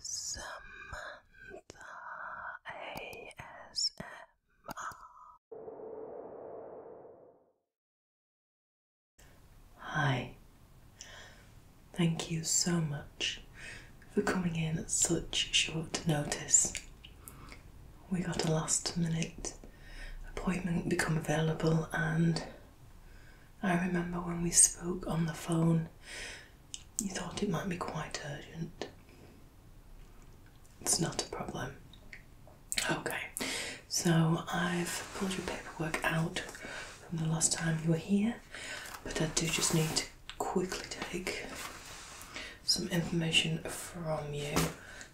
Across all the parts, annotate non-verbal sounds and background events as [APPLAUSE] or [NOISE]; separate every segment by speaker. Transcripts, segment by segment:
Speaker 1: Samantha ASMR. Hi, thank you so much for coming in at such short notice. We got a last minute appointment become available, and I remember when we spoke on the phone you thought it might be quite urgent. It's not a problem. Okay, so I've pulled your paperwork out from the last time you were here, but I do just need to quickly take some information from you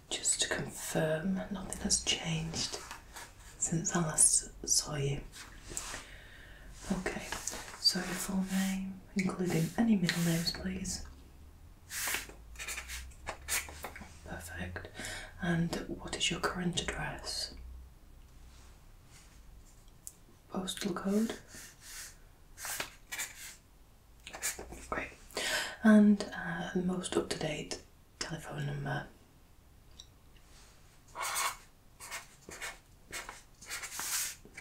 Speaker 1: just to confirm nothing has changed since I last saw you. Okay, so your full name, including any middle names, please. Perfect. And what is your current address? Postal code? Great. And uh, most up to date telephone number?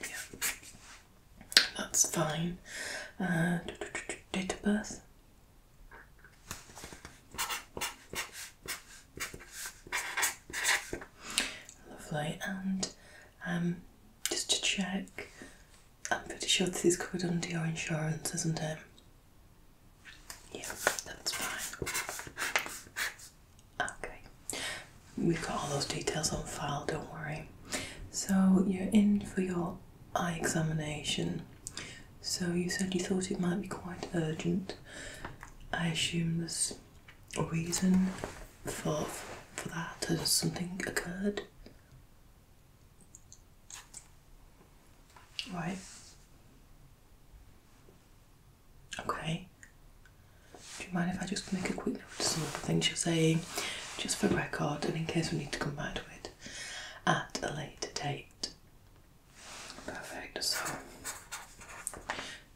Speaker 1: Yeah. That's fine. Uh, date of birth. Lovely, and um, just to check, I'm pretty sure this is covered under your insurance, isn't it? Yeah, that's fine. Okay, we've got all those details on file, don't worry. So, you're in for your eye examination. So, you said you thought it might be quite urgent. I assume there's a reason for, for that. Has something occurred? Right. Okay. Do you mind if I just make a quick note of some of the things you're saying, just for record and in case we need to come back to it at a later date? Perfect. So,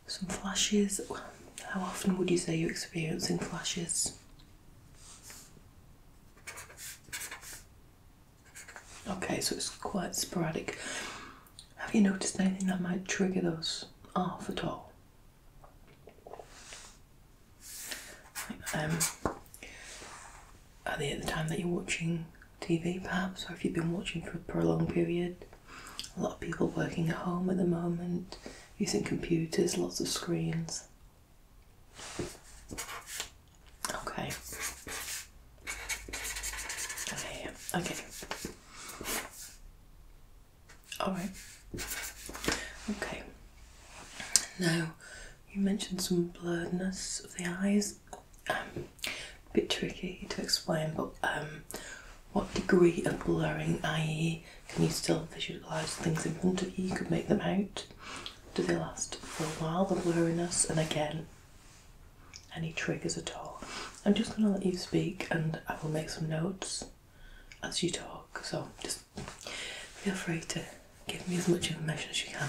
Speaker 1: some flashes. how often would you say you're experiencing flashes? Okay, so it's quite sporadic. Have you noticed anything that might trigger those off at all? Um, at the, at the time that you're watching TV, perhaps, or if you've been watching for a prolonged period, a lot of people working at home at the moment, using computers, lots of screens. Okay. Okay. Okay. All right. Okay. Now, you mentioned some blurredness of the eyes. Um, a bit tricky to explain, but um, what degree of blurring, i.e., can you still visualise things in front of you? You could make them out. Do they last for a while, the blurriness? And again, any triggers at all. I'm just going to let you speak and I will make some notes as you talk, so just feel free to give me as much information as you can.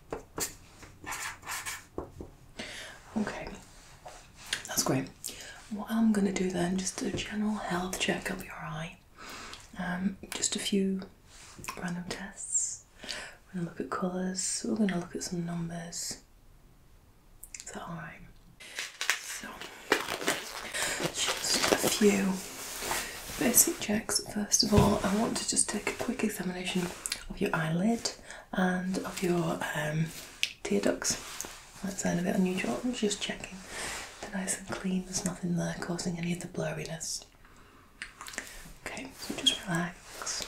Speaker 1: Okay, that's great. What I'm going to do then, just a general health check of your eye, um, just a few random tests. We're going to look at colours, we're going to look at some numbers. Is that alright? So, just a few basic checks. First of all, I want to just take a quick examination of your eyelid and of your um, tear ducts. That sound a bit unusual. just checking. They're nice and clean. There's nothing there causing any of the blurriness. Okay, so just relax.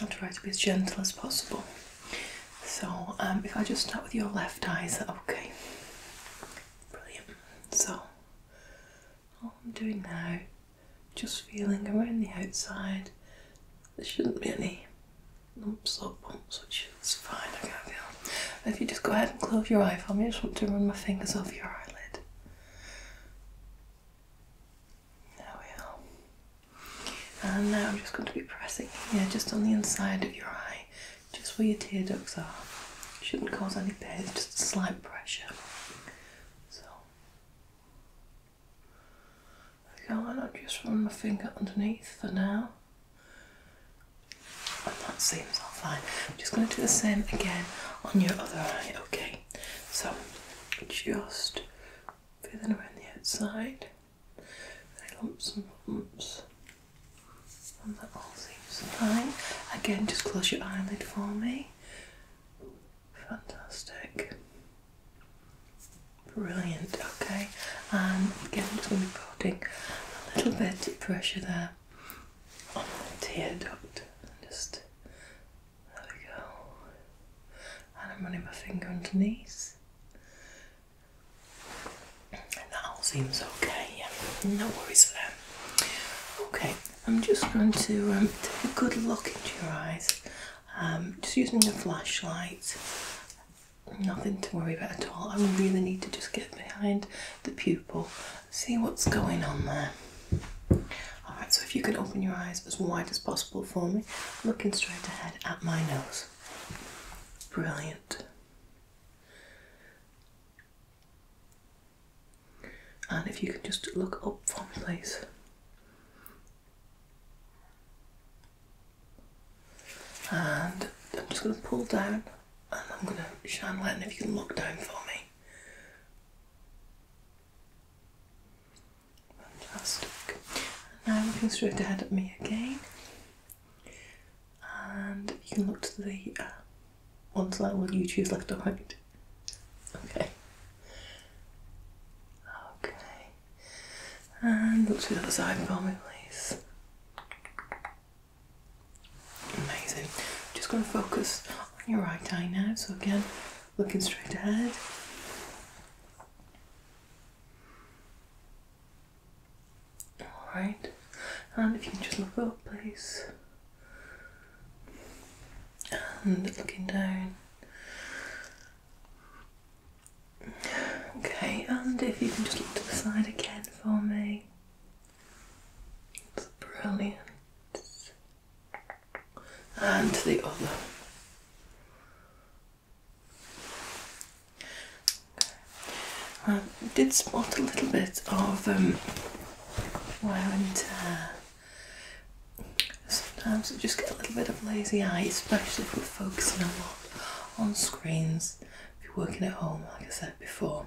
Speaker 1: I'll try to be as gentle as possible. So, um, if I just start with your left eye, is that okay? Brilliant. So, all I'm doing now just feeling around the outside. There shouldn't be any lumps or bumps, which is fine, I can feel. If you just go ahead and close your eye for me, I just want to run my fingers over your eyelid. There we are. And now I'm just going to be pressing here, just on the inside of your eye, just where your tear ducts are. Shouldn't cause any pain, just a slight pressure. So, yarn. I'll just run my finger underneath for now. And that seems all fine. I'm just going to do the same again on your other eye, okay? So just feeling around the outside, any lumps and bumps, and that all seems fine. Again, just close your eyelid for me. Fantastic. Brilliant, okay. Um, again, I'm just going to be putting a little bit of pressure there on the tear duct. Just, there we go. And I'm running my finger underneath. that all seems okay, yeah. No worries there. Okay, I'm just going to um, take a good look into your eyes um, just using the flashlight, nothing to worry about at all. I really need to just get behind the pupil, see what's going on there. Alright, so if you can open your eyes as wide as possible for me, looking straight ahead at my nose. Brilliant. And if you could just look up for me, please. And I'm just going to pull down and I'm going to shine light. And if you can look down for me, fantastic. And now looking straight ahead at me again. And you can look to the uh, ones that side. Will you choose left or right? Okay. Okay. And look to the other side for me, please. Amazing. just going to focus on your right eye now. So, again, looking straight ahead. Alright. And if you can just look up, please and um, looking down. Okay, and if you can just look to the side again for me. That's brilliant. And the other. I did spot a little bit of um, wear and Sometimes I just get a little bit of lazy eye, especially if we're focusing a lot on screens. If you're working at home, like I said before.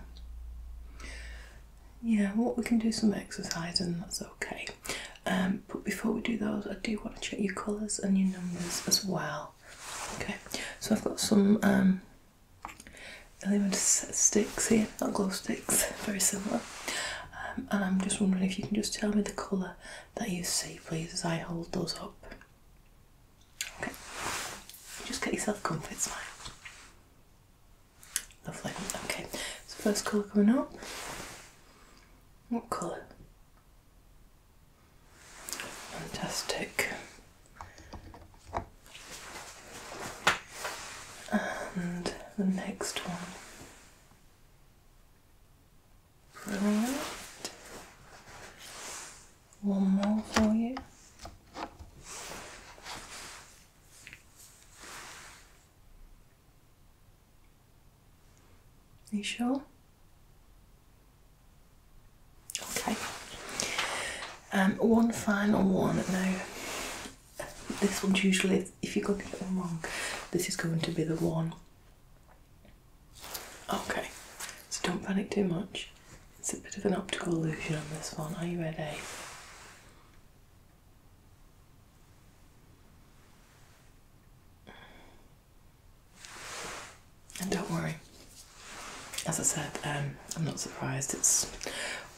Speaker 1: Yeah, what we can do some exercise and that's okay. Um, but before we do those, I do want to check your colours and your numbers as well. Okay, so I've got some um, sticks here, not glow sticks, very similar. Um, and I'm just wondering if you can just tell me the colour that you see, please, as I hold those up. Okay, just get yourself comfy, it's fine. Lovely. Okay, so first colour coming up. What colour? Fantastic. And the next one. Brilliant. One more for you. Are you sure? Okay. Um, one final one now this one's usually, if you are going to get them wrong, this is going to be the one. Okay, so don't panic too much. It's a bit of an optical illusion on this one. Are you ready? And don't worry, as I said, um, I'm not surprised. It's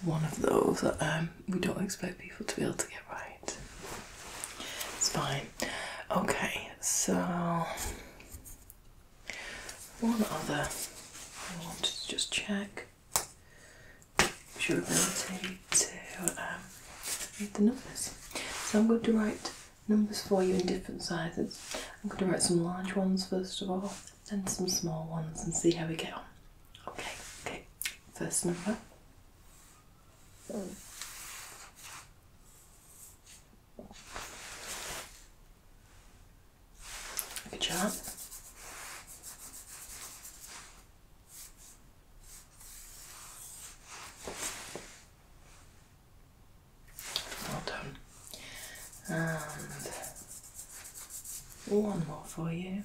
Speaker 1: one of those that um, we don't expect people to be able to right. It's fine. Okay, so one other I wanted to just check is your ability to um, read the numbers. So I'm going to write numbers for you in different sizes. I'm going to write some large ones first of all, then some small ones and see how we get on. Okay, okay. First number Good job. Well done. And one more for you.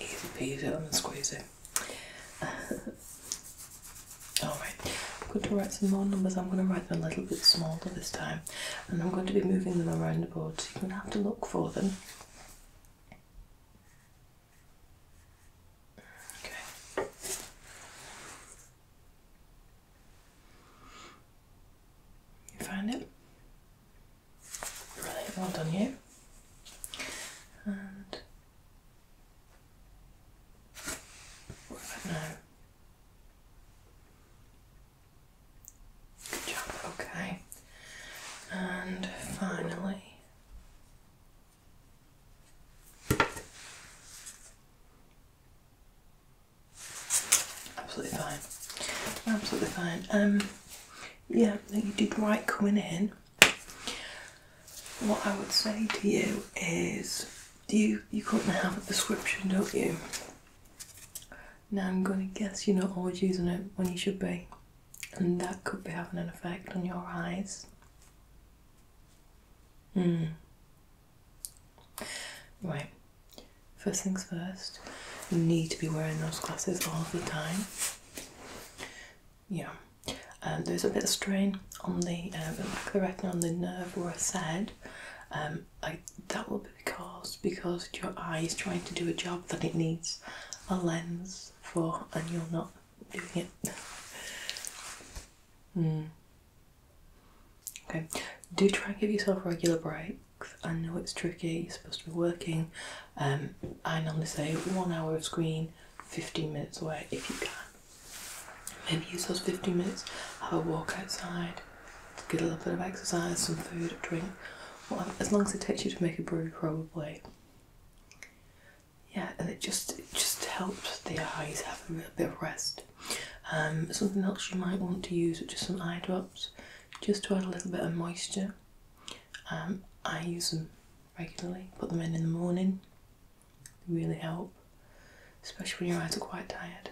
Speaker 1: Easy peasy, lemon squeezy. [LAUGHS] Alright, I'm going to write some more numbers. I'm going to write them a little bit smaller this time, and I'm going to be moving them around the board so you're going to have to look for them. Okay. You find it? Really well done, you. And what about now? Good job, okay. And finally. Absolutely fine. Absolutely fine. Um, yeah, you did right coming in. What I would say to you is, you you currently have a prescription, don't you? Now I'm going to guess you're not always using it when you should be, and that could be having an effect on your eyes. Mm. Right, first things first, you need to be wearing those glasses all the time. Yeah, um, there's a bit of strain on the, uh, the retina on the nerve where I said. Um, I, that will be caused because your eye is trying to do a job that it needs a lens for, and you're not doing it. [LAUGHS] mm. Okay, do try and give yourself regular breaks. I know it's tricky, you're supposed to be working. Um, I normally say one hour of screen, 15 minutes away if you can. Maybe use those 15 minutes, have a walk outside, get a little bit of exercise, some food, drink, whatever, as long as it takes you to make a brew, probably. Yeah, and it just it just helps the eyes have a bit of rest. Um, something else you might want to use, are just some eye drops, just to add a little bit of moisture. Um, I use them regularly, put them in in the morning, really help, especially when your eyes are quite tired.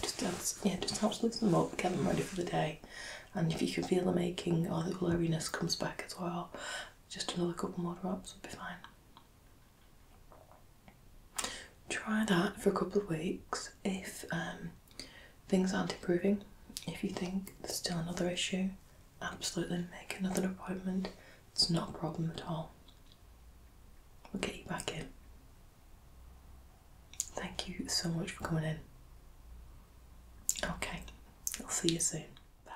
Speaker 1: Just helps, yeah, just helps loosen them up, get them ready for the day, and if you can feel the aching or the blurriness comes back as well, just another couple more drops would be fine. Try that for a couple of weeks if um, things aren't improving. If you think there's still another issue, absolutely make another appointment. It's not a problem at all. We'll get you back in. Thank you so much for coming in. Okay, I'll see you soon. Bye.